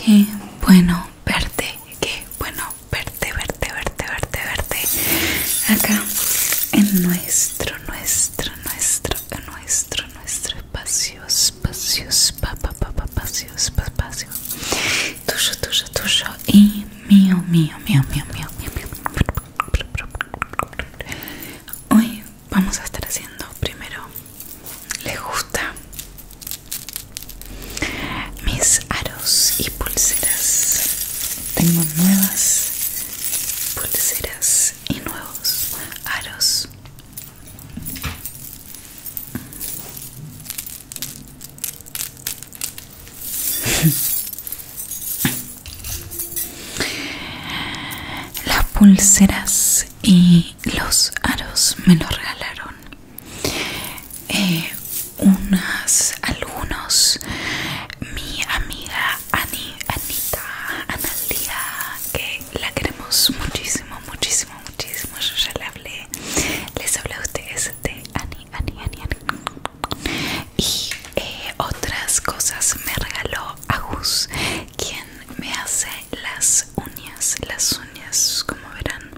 Qué bueno verte, qué bueno verte verte, verte, verte, verte, verte acá en nuestro, nuestro, nuestro, nuestro, nuestro espacio, espacios espacio, espacio, espacio, tuyo, tuyo, tuyo y mío, mío, mío, mío, mío, mío, mío. Hoy vamos a estar haciendo primero, le gusta? Mis aros y pulseras tengo nuevas pulseras y nuevos aros las pulseras y los aros me los regalaron eh, unas algunos mi amiga Ani, Anita Analia que la queremos muchísimo muchísimo muchísimo yo ya le hablé les hablé a ustedes de Ani Ani Ani, y otras cosas me regaló Agus quien me hace las uñas las uñas como verán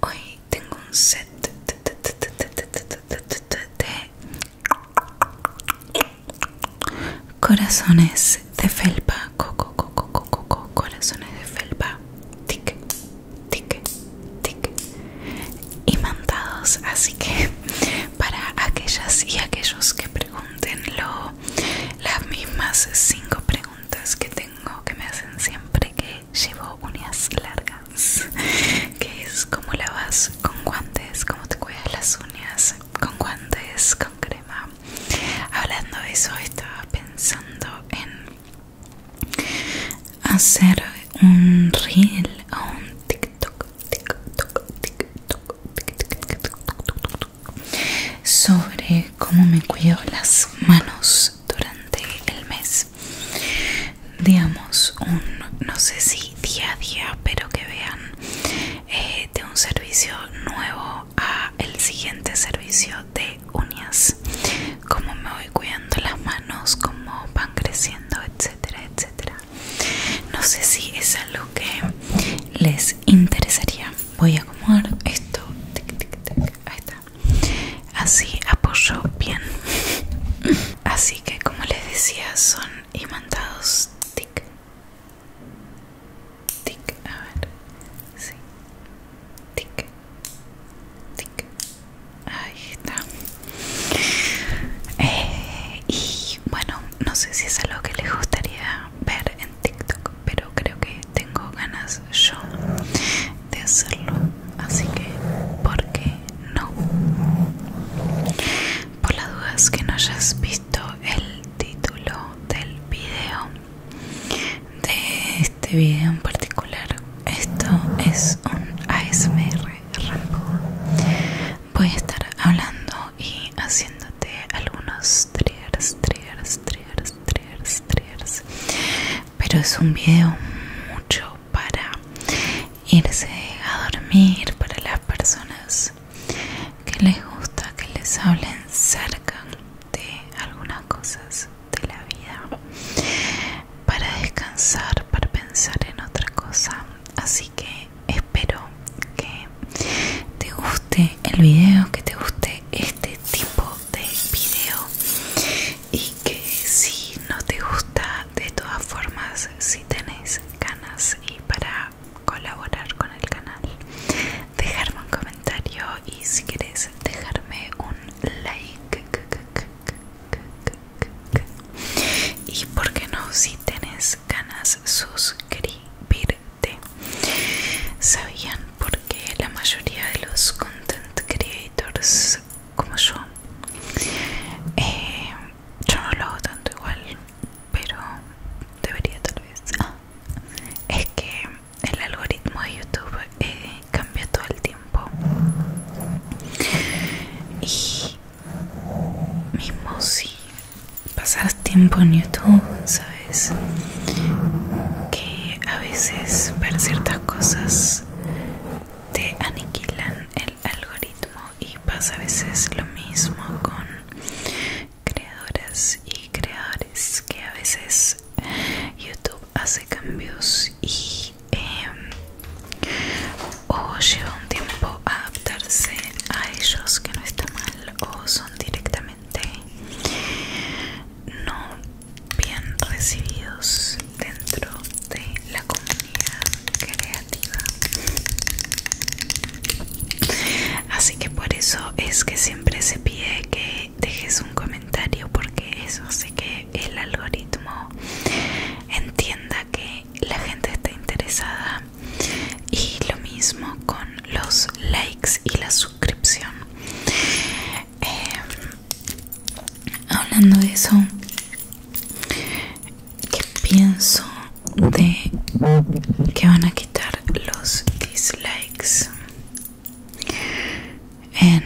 hoy tengo un set Corazones de felpa, coco, coco, coco, corazones de felpa, tic, tic, tic, imantados. Así que para aquellas y aquellos que pregunten las mismas cinco preguntas que tengo que me hacen siempre que llevo uñas largas que es como lavas con guantes, cómo te cuidas las uñas, con guantes, con crema. Hablando de eso, estaba pensando en hacer un reel o un TikTok, TikTok, TikTok, TikTok sobre cómo me cuido las manos durante el mes digamos un no sé si día a día pero que vean eh, de un servicio nuevo a el siguiente servicio de uñas como me voy cuidando las manos como van creciendo etcétera etcétera no sé si es algo que les interesaría voy a acomodar esto ahí está así apoyo bien así que como les decía son mandados tic tic a ver sí tic tic ahí está eh, y bueno no sé si es algo que les gustaría ver en TikTok pero creo que tengo ganas yo de hacerlo así que porque no. Por las dudas que no hayas visto el título del video, de este video en particular, esto es un ASMR Rambo. Voy a estar hablando y haciéndote algunos triggers, triggers, triggers, triggers, triggers. Pero es un video mucho para irse a dormir para las personas que les gusta que les hablen cerca de algunas cosas de la vida para descansar para pensar en otra cosa así que espero que te guste el video que te guste este tipo de video y que si no te gusta de todas formas si tenéis ganas y para colaborar con el canal dejarme un comentario y si quieres dejarme un like y por qué no si tenés ganas suscribirte sabían porque la mayoría de los content creators como yo eh, yo no lo hago tanto igual, pero debería tal vez. Ah, es que el algoritmo de YouTube eh, cambia todo el tiempo. Y mismo si pasas tiempo en YouTube, ¿sabes? Que a veces ver ciertas cosas te aniquilan el algoritmo y pasa a veces lo mismo con creadoras y creadores que a veces YouTube hace cambios y em, o lleva un tiempo adaptarse a ellos que no está mal o son directamente no bien recibidos dentro de la comunidad creativa así que por eso es que siempre se pide que dejes un comentario porque eso hace que el algoritmo entienda que la gente está interesada y lo mismo con los likes y la suscripción em, hablando de eso ¿Qué pienso de que van a quitar los dislikes en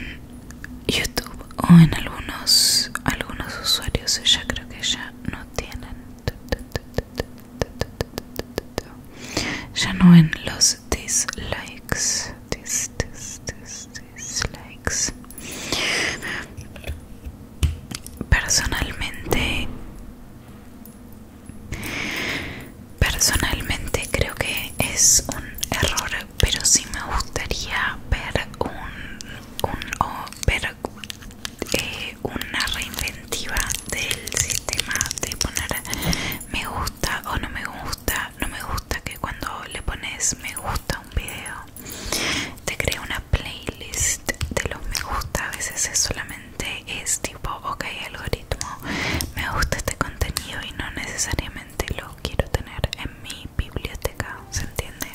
YouTube o en algunos algunos usuarios ya creo que ya no tienen ya no en los dislikes dislikes personalmente personalmente creo que es un error pero sí me gustaría ver un, un o ver eh, una reinventiva del sistema de poner me gusta o no me gusta no me gusta que cuando le pones me gusta a un video te crea una playlist de los me gusta a veces es solamente es tipo ok algoritmo me gusta este contenido y no necesariamente lo quiero tener en mi biblioteca se entiende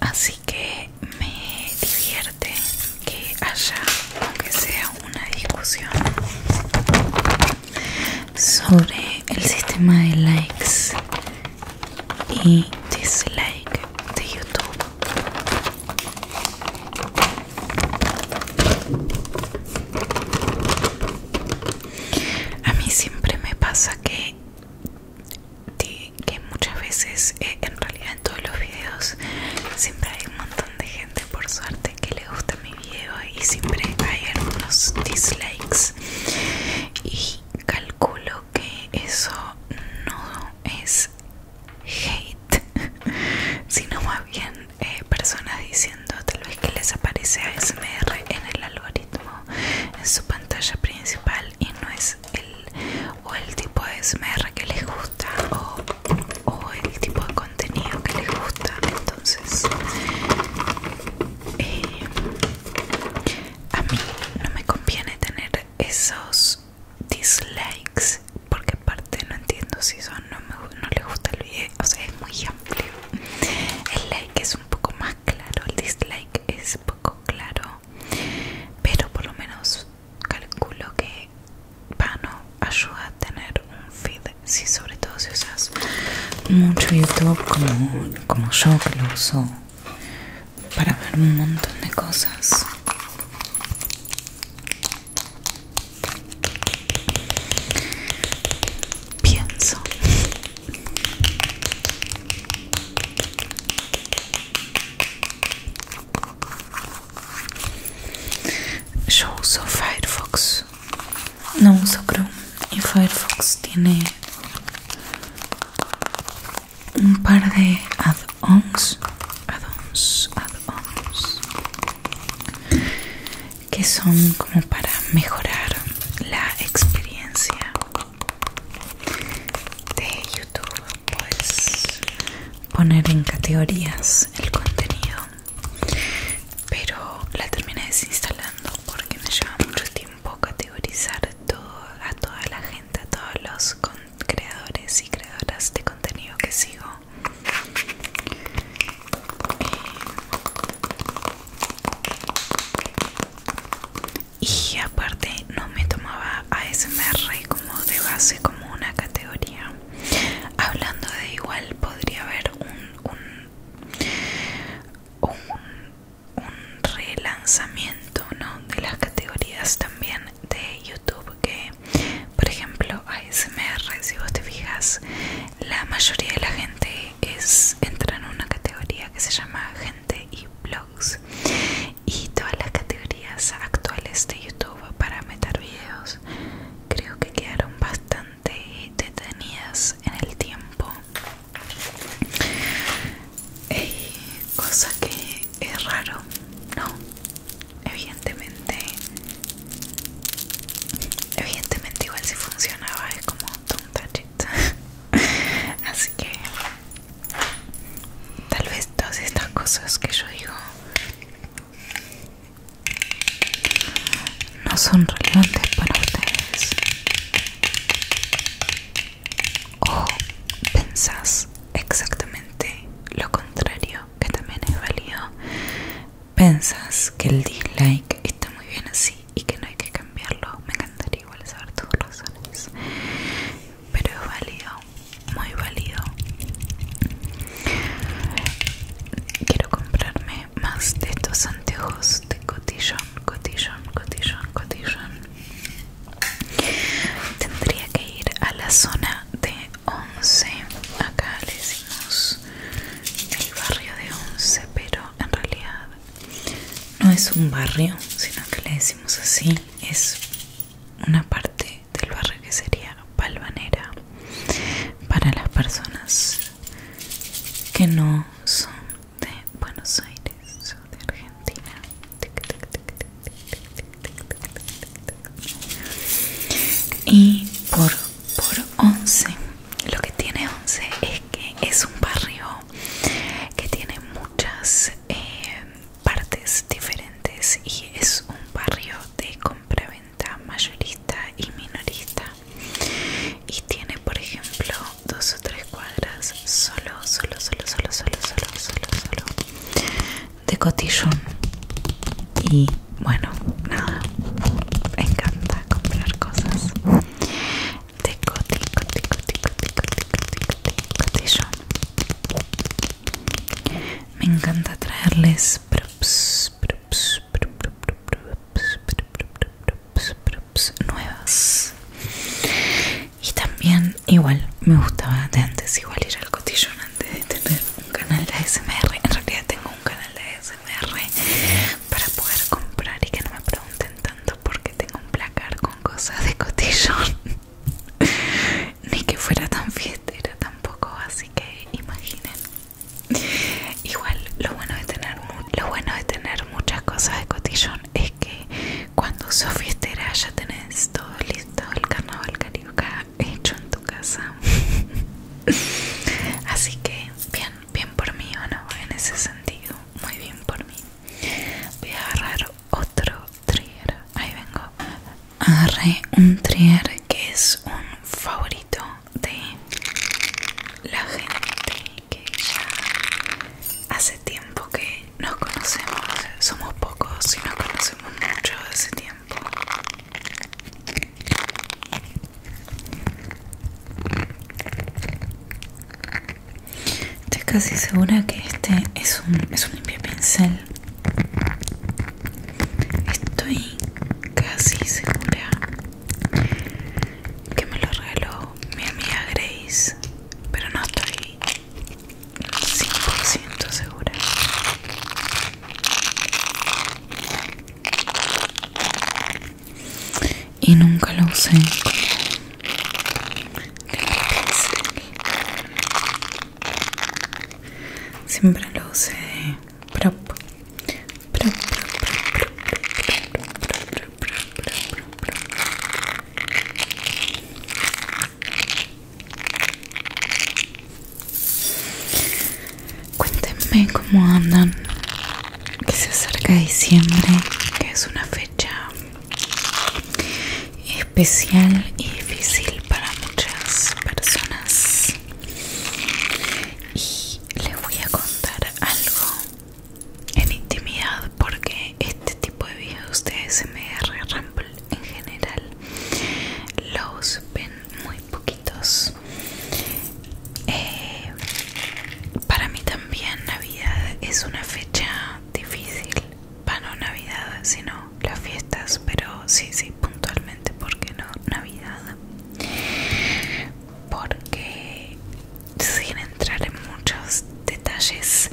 así que me divierte que haya aunque sea una discusión sobre el sistema de likes y dislike de YouTube. A mí siempre me pasa que, que muchas veces, eh, en realidad en todos los videos, siempre hay un montón de gente por suerte que le gusta mi video y siempre hay algunos dislikes. Y calculo que eso no es hate, sino más bien eh, personas diciendo tal vez que les aparece a Smr en el algoritmo, en su pantalla principal y no es el o el tipo de Smr que les gusta o, el tipo de contenido que les gusta. Entonces, eh, a mí no me conviene tener esos dislikes porque aparte no entiendo si son no, me, gusta el video o sea es muy amplio el like es un poco más claro el dislike es poco claro pero por lo menos calculo que Pano ayuda a tener un feed si sobre todo si usas mucho YouTube como, como yo que lo uso para ver un montón de cosas. Pienso. Yo uso Firefox, no uso Chrome y Firefox tiene un par de add-ons add-ons add-ons que son como para mejorar la experiencia de YouTube pues poner en categorías el contenido pero la terminé desinstalando porque me lleva mucho tiempo categorizar todo a toda la gente a todos los creadores y creadoras de contenido que sigo y aparte no me tomaba ASMR como de base como una categoría hablando de igual podría haber un, un, un un relanzamiento ¿no? de las categorías también de YouTube que por ejemplo ASMR si vos te fijas la mayoría de la gente es entra en una categoría que se llama gente y blogs y todas las categorías actuales de YouTube para meter videos creo que quedaron bastante detenidas en el tiempo eh, cosa que es raro, ¿no? Evidentemente, evidentemente igual si funcionaba es como don't touch Así que tal vez todas estas cosas que yo digo no son relevantes para ustedes o pensas exactamente lo contrario, que también es válido. pensas que el dislike está muy bien así y que no hay que cambiarlo. Me encantaría igual saber tus razones, pero es válido, muy válido. Quiero comprarme más de estos anteojos de cotillón, cotillón, cotillón, cotillón. Tendría que ir a la zona de 11. Acá le decimos el barrio de 11, pero en realidad no es un barrio, sino que le decimos así. Es una parte del barrio que sería Palvanera para las personas que no son de Buenos Aires de Argentina y por, por 11 lo que tiene 11 es que es un barrio que tiene muchas eh, partes diferentes y es un barrio de compraventa mayorista y minorista y tiene por ejemplo dos o tres cuadras solo solo solo solo solo solo solo solo de cotillón y bueno nada me encanta comprar cosas de me encanta traerles props, props, props, props, props, nuevas y también, igual, me gustaba de antes, igual ir al cotillón antes de tener un canal de ASMR. En realidad tengo un canal de ASMR para poder comprar y que no me pregunten tanto porque tengo un placar con cosas de cotillón. Ni que fuera tan era tampoco, así que imaginen. Igual, lo bueno de tener, lo bueno de tener muchas cosas de cotillón es que cuando Sofi fiestera ya tenés todo listo el carnaval carioca hecho en tu casa así que bien bien por mí o no en ese sentido muy bien por mí voy a agarrar otro trigger ahí vengo agarré un trigger que es un favorito de la gente que ya hace tiempo que nos conocemos, somos pocos y nos conocemos mucho hace tiempo. Estoy casi segura que este es un, es un pincel. Estoy casi segura que me lo regaló mi amiga Grace, pero no estoy 100% segura. Y nunca lo usé Siempre lo usé Cuéntenme cómo andan, que se acerca diciembre, que es una fecha especial y difícil para muchas personas. Y les voy a contar algo en intimidad porque este tipo de videos de agarran en general los ven muy poquitos eh, para mí también navidad es una fecha difícil no navidad sino las fiestas pero sí sí puntualmente porque no navidad porque sin entrar en muchos detalles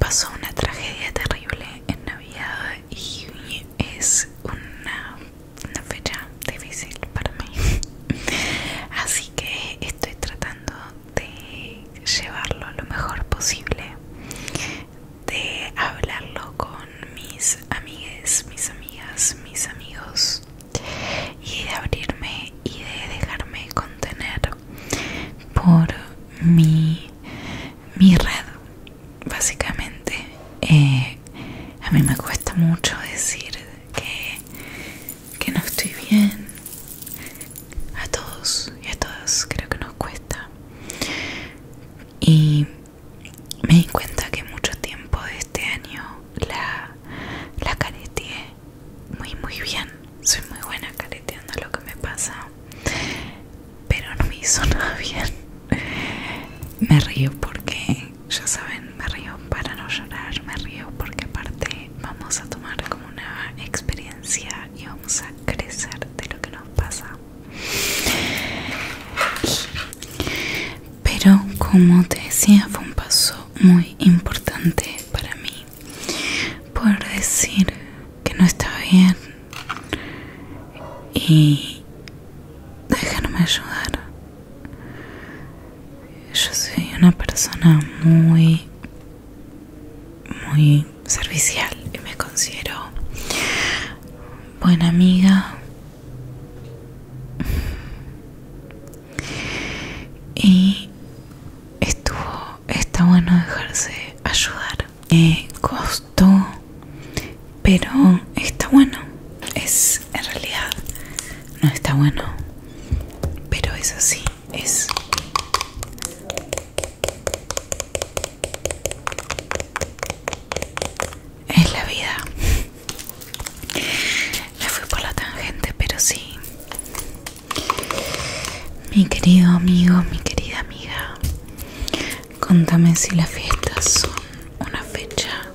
pasó una tragedia terrible en navidad y es una, una fecha difícil para mí. Así que estoy tratando de llevarlo lo mejor posible, de hablarlo con mis amigues, mis amigas, mis amigos y de abrirme y de dejarme contener por mi mi, red, básicamente. Eh, a mí me cuesta mucho decir que, que no estoy bien. A todos y a todas creo que nos cuesta. Y me di cuenta que mucho tiempo de este año la, la muy muy bien. Soy muy buena careteando lo que me pasa pero no me hizo nada bien. Me río porque, ya saben, me río para no llorar, me río porque aparte vamos a tomar como una experiencia y vamos a crecer de lo que nos pasa. Pero como te decía, fue un paso muy importante para mí por decir que no estaba bien y déjenme ayudar. Yo soy una persona muy, muy servicial y me considero buena amiga. Y estuvo está bueno dejarse ayudar. Eh, costó, pero está bueno. Es en realidad no está bueno, pero es así. Es es la vida. Me fui por la tangente, pero sí. Mi querido amigo, mi querida amiga, Contame si las fiestas son una fecha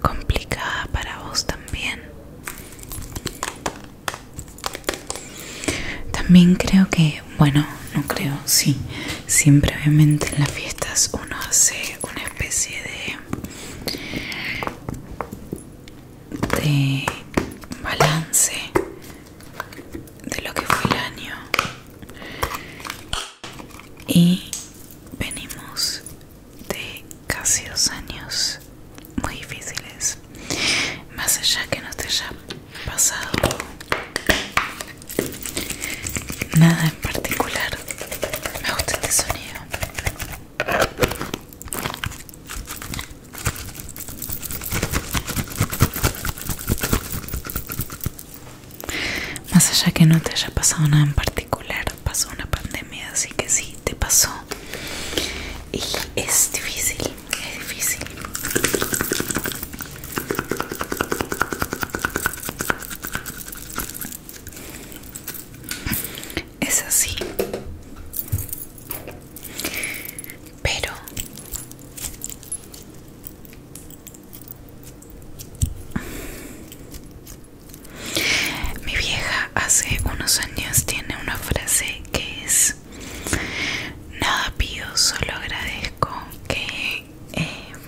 complicada para vos también. También creo que, bueno, no creo, sí, siempre obviamente en las fiestas uno hace una especie de, de balance de lo que fue el año y venimos de casi dos años muy difíciles más allá que no te haya pasado nada en particular me gusta este sonido más allá que no te haya pasado nada en particular, pasó una pandemia, así que sí, te pasó. Y es difícil, es difícil. Es así. Pero mi vieja hace unos años tiene una frase que es nada pido, solo agradezco que em,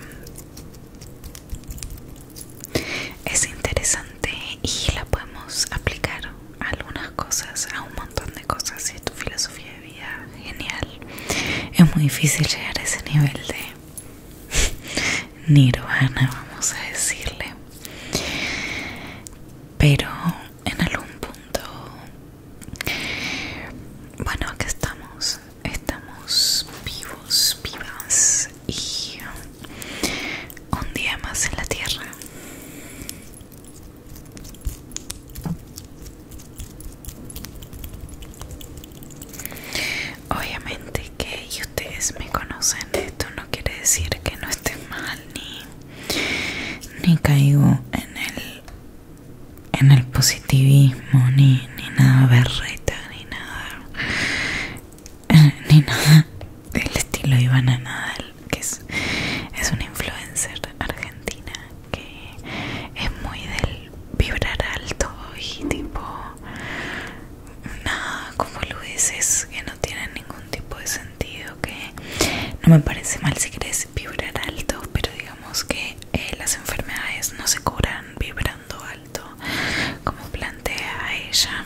es interesante y la podemos aplicar a algunas cosas, a un montón de cosas. Si tu filosofía vida genial. Es muy difícil llegar a ese nivel de nirvana, vamos a decirle. Pero en algún punto... Bueno, acá estamos. Estamos vivos, vivas y un día más en la tierra. Obviamente que y ustedes me conocen, esto no quiere decir que no esté mal ni, caigo en el en el positivismo ni, nada berreta ni nada eh, ni nada del estilo Ivana Nadal que es, es una influencer argentina que es muy del vibrar alto y tipo nada como lo dices, que no tiene ningún tipo de sentido que no me parece mal si querés vibrar alto pero digamos que eh, las enfermedades no se curan vibrando alto como plantea ella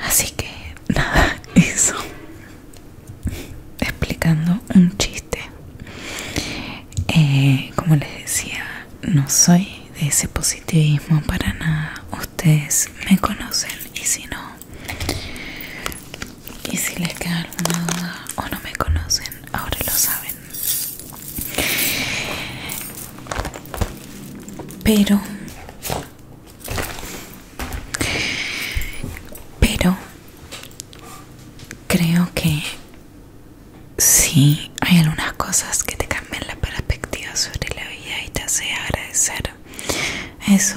así que nada eso explicando un chiste. Eh, como les decía, no soy de ese positivismo para nada. Ustedes me conocen y si no, y si les queda alguna duda o no me conocen, ahora lo saben. Pero, pero creo que sí hay algunas cosas que te cambian la perspectiva sobre la vida y te hace agradecer eso,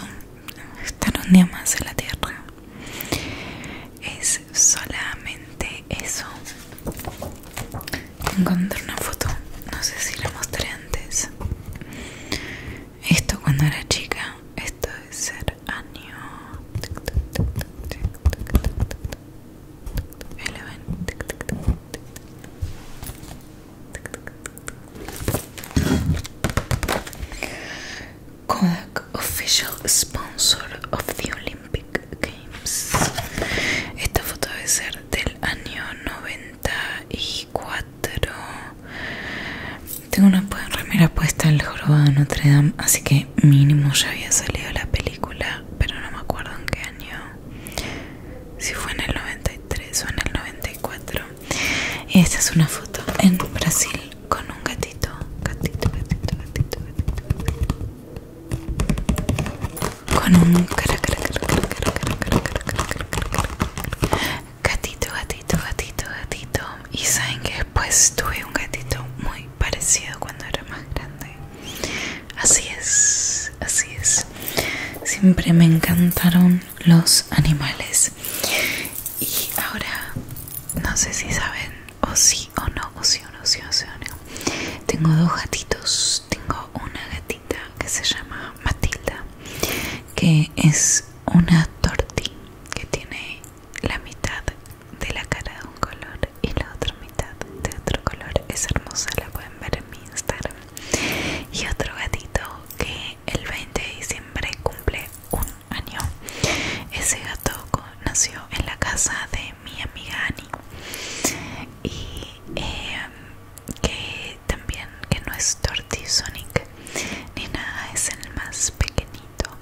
estar un día más en la tierra. Es solamente eso. Encontré una foto, no sé si la mostré antes. Esto cuando era chica esto debe ser año 11. Kodak official sponsor of the Olympic Games esta foto debe ser del año 94 tengo una remera puesta el jorobado de Notre Dame, así que mínimo ya había salido la película, pero no me acuerdo en qué año. Si fue en el 93 o en el 94. Y esta es una foto en Brasil con un gatito. Gatito, gatito, gatito, gatito. Con un cara, cara, cara, cara, cara, cara, cara, cara, cara, cara, cara, cara. Gatito, gatito, gatito, gatito. Y saben qué? Pues tuve un gatito muy parecido cuando era más grande. Así es, así es. Siempre me encantaron los animales. Y ahora, no sé si saben, o sí o no, o sí o no, o, sí, o no. Tengo dos gatitos. Tengo una gatita que se llama Matilda, que es una torti que tiene la mitad de la cara de un color y la otra mitad de otro color es hermosa la pueden ver en mi instagram y otro gatito que el 20 de diciembre cumple un año ese gato nació en la casa de mi amiga Annie y em, que también que no es Tortisonic ni nada es el más pequeñito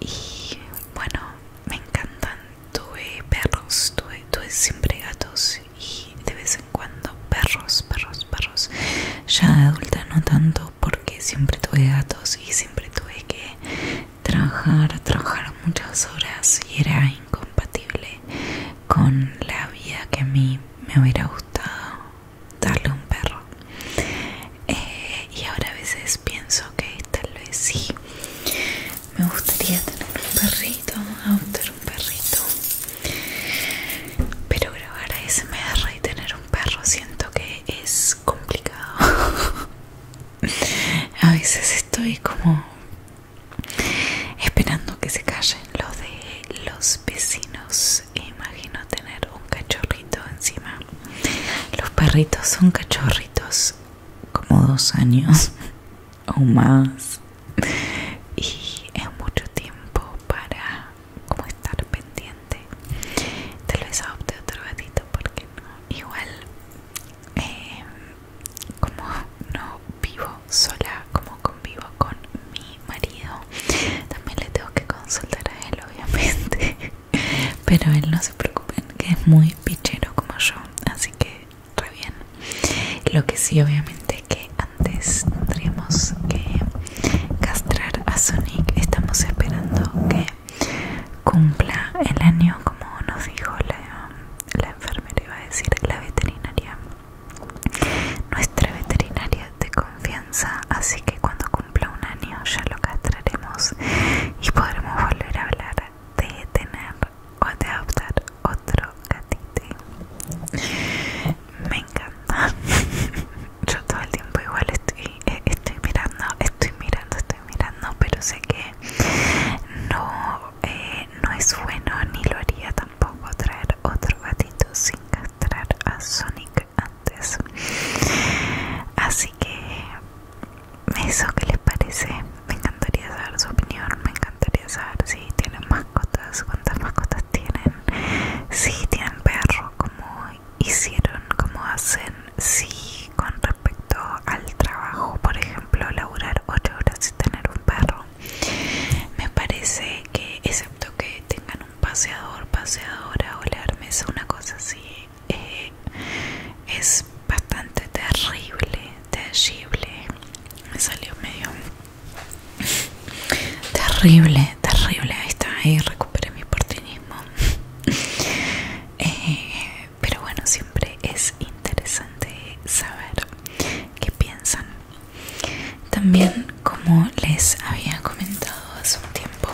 y bueno me encantan tuve perros tuve, siempre gatos y de vez en cuando perros perros perros ya de adulta no tanto porque siempre tuve gatos y siempre tuve que trabajar trabajar muchas horas y era incompatible con la vida que a mí me hubiera gustado darle un perro eh, y ahora a veces pienso que tal vez sí me gustaría tener un perrito tener un perrito pero grabar me y tener un perro siento que es complicado a veces estoy como esperando que se callen los de los vecinos imagino tener un cachorrito encima los perritos son cachorritos como dos años o más y es mucho tiempo para como estar pendiente tal vez adopte otro gatito porque no igual em, como no vivo sola como convivo con mi marido también le tengo que consultar a él obviamente Pero él no se preocupen, que es muy pichero como yo, así que re bien. Lo que sí, obviamente, que antes tendríamos que castrar a Sonic. Estamos esperando que cumpla el año, como nos dijo la, enfermera, iba a decir, la veterinaria. Nuestra veterinaria de confianza, así que cuando cumpla un año ya lo castraremos y podremos volver a hablar de tener o de adoptar otro gatito. Me encanta. Yo todo el tiempo igual eh, estoy, mirando, estoy mirando, estoy mirando, pero sé que no, eh, no es bueno ni lo haría tampoco traer otro gatito sin castrar a Sonic antes. Así que eso que les parece me encantaría saber su opinión me encantaría saber si tienen mascotas cuántas mascotas tienen si tienen perro como hicieron como hacen si con respecto al trabajo por ejemplo laburar ocho horas y tener un perro me parece que excepto que tengan un paseador paseadora o la una cosa así eh, es bastante terrible, terrible. Me salió medio terrible, terrible. Ahí está, ahí recuperé mi portinismo eh, pero bueno, siempre es interesante saber qué piensan. También, como les había comentado hace un tiempo,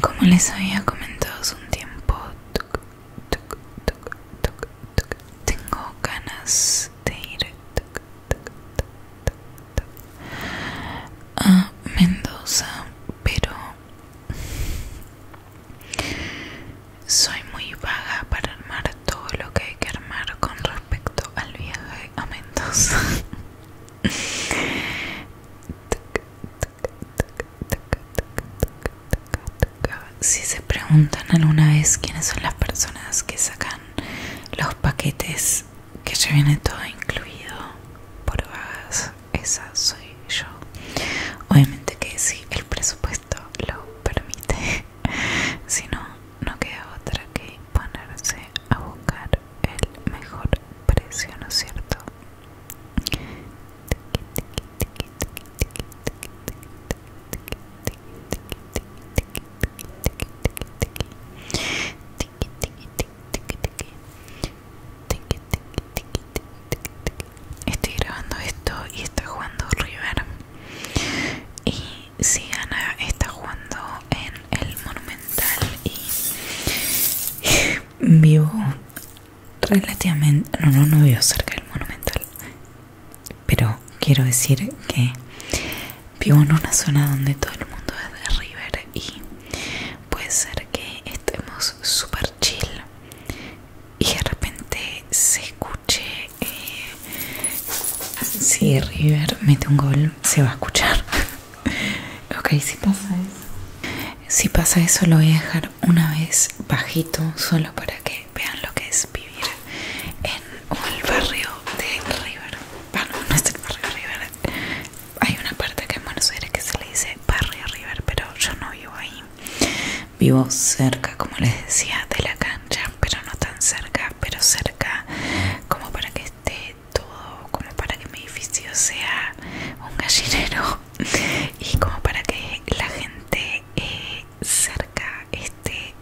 como les había comentado hace un tiempo, tengo ganas de ir a Mendoza, pero soy muy vaga para armar todo lo que hay que armar con respecto al viaje a Mendoza. Si se preguntan alguna vez quiénes son las personas que sacan los paquetes que ya viene todo incluido por vagas, esa soy yo. Obviamente que si el presupuesto esto lo permite. si no, no queda otra que ponerse a buscar el mejor precio, ¿no es cierto? estoy grabando esto y está jugando River. Y si Ana está jugando en el Monumental y vivo relativamente... No, no, no vivo cerca del Monumental. Pero quiero decir que vivo en una zona donde todo el mundo es de River y puede ser que estemos super chill y de repente se escucha eh, si River mete un gol, se va a escuchar. ok, si pasa eso. Si pasa eso, lo voy a dejar una vez bajito, solo para que vean lo que es vivir en el barrio de River. Bueno, no es el barrio River. Hay una parte que en Buenos Aires que se le dice barrio River, pero yo no vivo ahí. Vivo cerca, como les decía, de la cancha, pero no tan cerca, pero cerca como para que esté todo, como para que mi edificio sea un gallinero y como para que la gente eh, cerca esté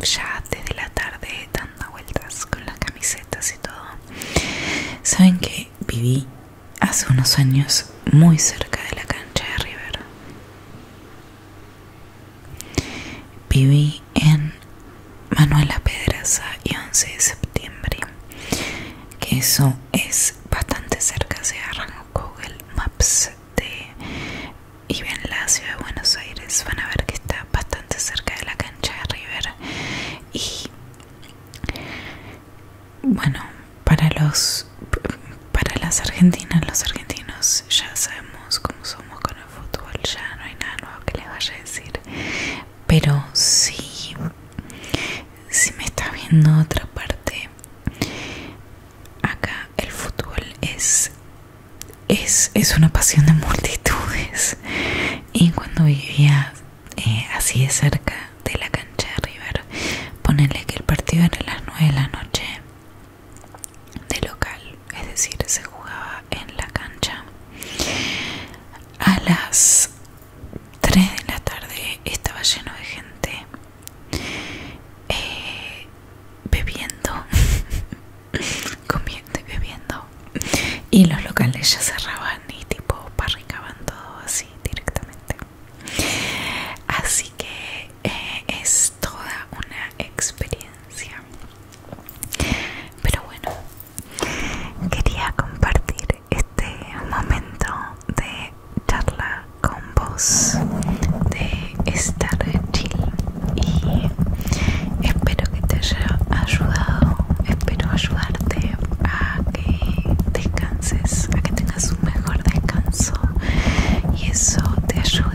ya desde la tarde dando vueltas con las camisetas y todo. Saben que viví hace unos años muy cerca de la cancha de River. Viví en Manuela Pedraza y 11 de septiembre, que eso es bastante cerca, se agarran Google Maps de, y bien la ciudad de Buenos Aires, van a ver que está bastante cerca de la cancha de River y bueno para los para las argentinas los argentinos ya sabemos cómo somos con el fútbol ya no hay nada nuevo que les vaya a decir pero si me está viendo otra parte acá el fútbol es es, es una pasión de multitudes y cuando vivía eh, así de cerca de la cancha de River ponele que el partido era a las 9 de la noche de local, es decir, se jugaba en la cancha. A las 3 de la tarde estaba lleno de gente eh, bebiendo, comiendo y bebiendo. Y los locales ya cerraban y tipo parricaban todo así directamente. Así que eh, es toda una experiencia. Pero bueno, quería compartir este momento de charla con vos, de estar chill y espero que te haya ayudado, espero ayudarte a que descanses, a que tengas un mejor descanso y eso te ayude